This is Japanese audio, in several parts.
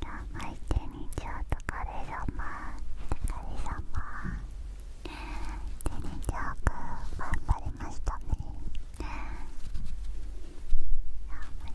相手にちょっとカレ様カレ様テニジョーく頑張りましたね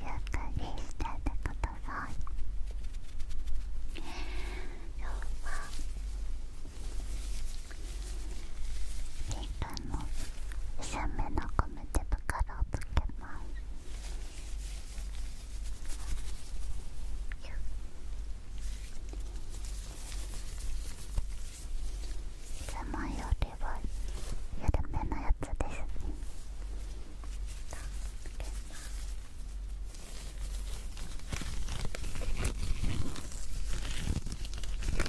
ゆっくりしててください今ピンクの薄めのゴムからをつけますいつよりは緩めのやつですねつけ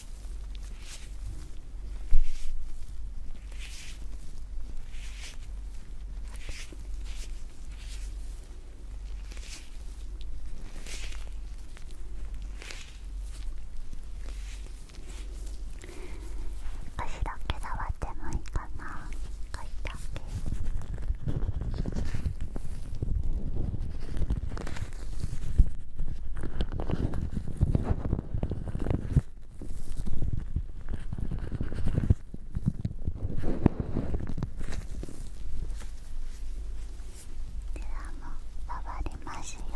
少しだけ触ってもいいかな少しだけも触りますよ耳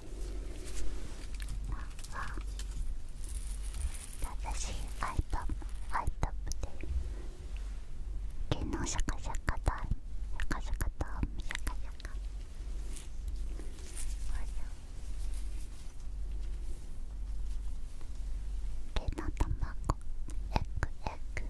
正しいアイトッアイトッで毛のシャカシャカだシャカシャカだシャカシャカ毛の卵エック、エッグで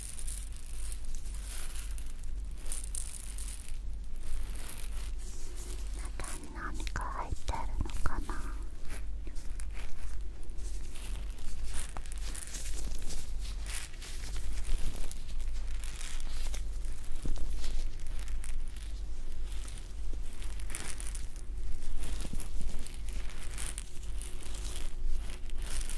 中に何か入ってるのかな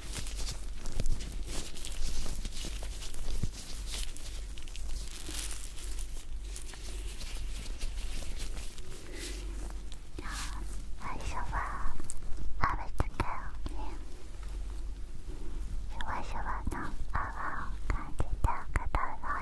じ最初はあるとけをねシュワシの泡を感じてくとさい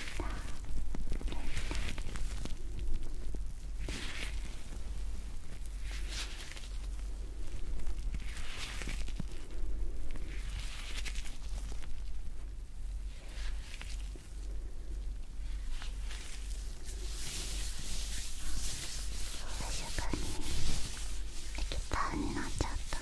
静かに適当になっちゃったね。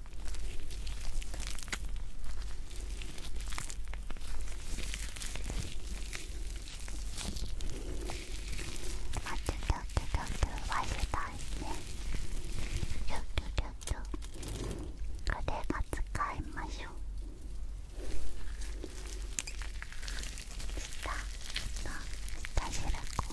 あちょちょちょちょ忘れたいねちょちょちょちょこれが使いましょう下の下白子。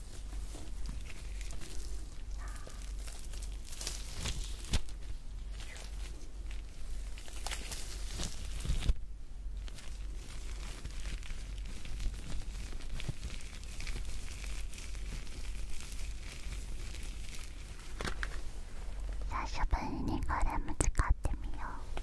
久しぶりにこれも使ってみよう。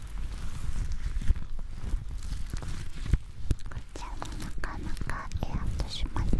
こちらもなかなかエアントしますね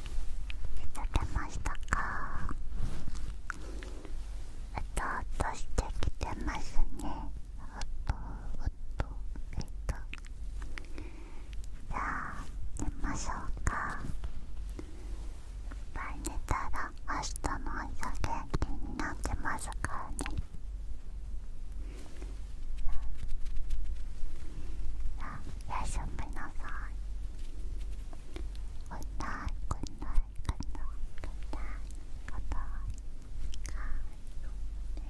寝てましたかうとうとしてきてますねうとうとえっとじゃあ寝ましょうかいっぱい寝たら明日の朝元気になってますからねじあおやすみなさい。Good night, good night, good night, good night, good night. Good night.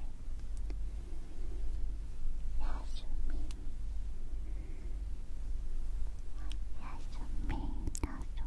やすみ。やすみ、やすみ。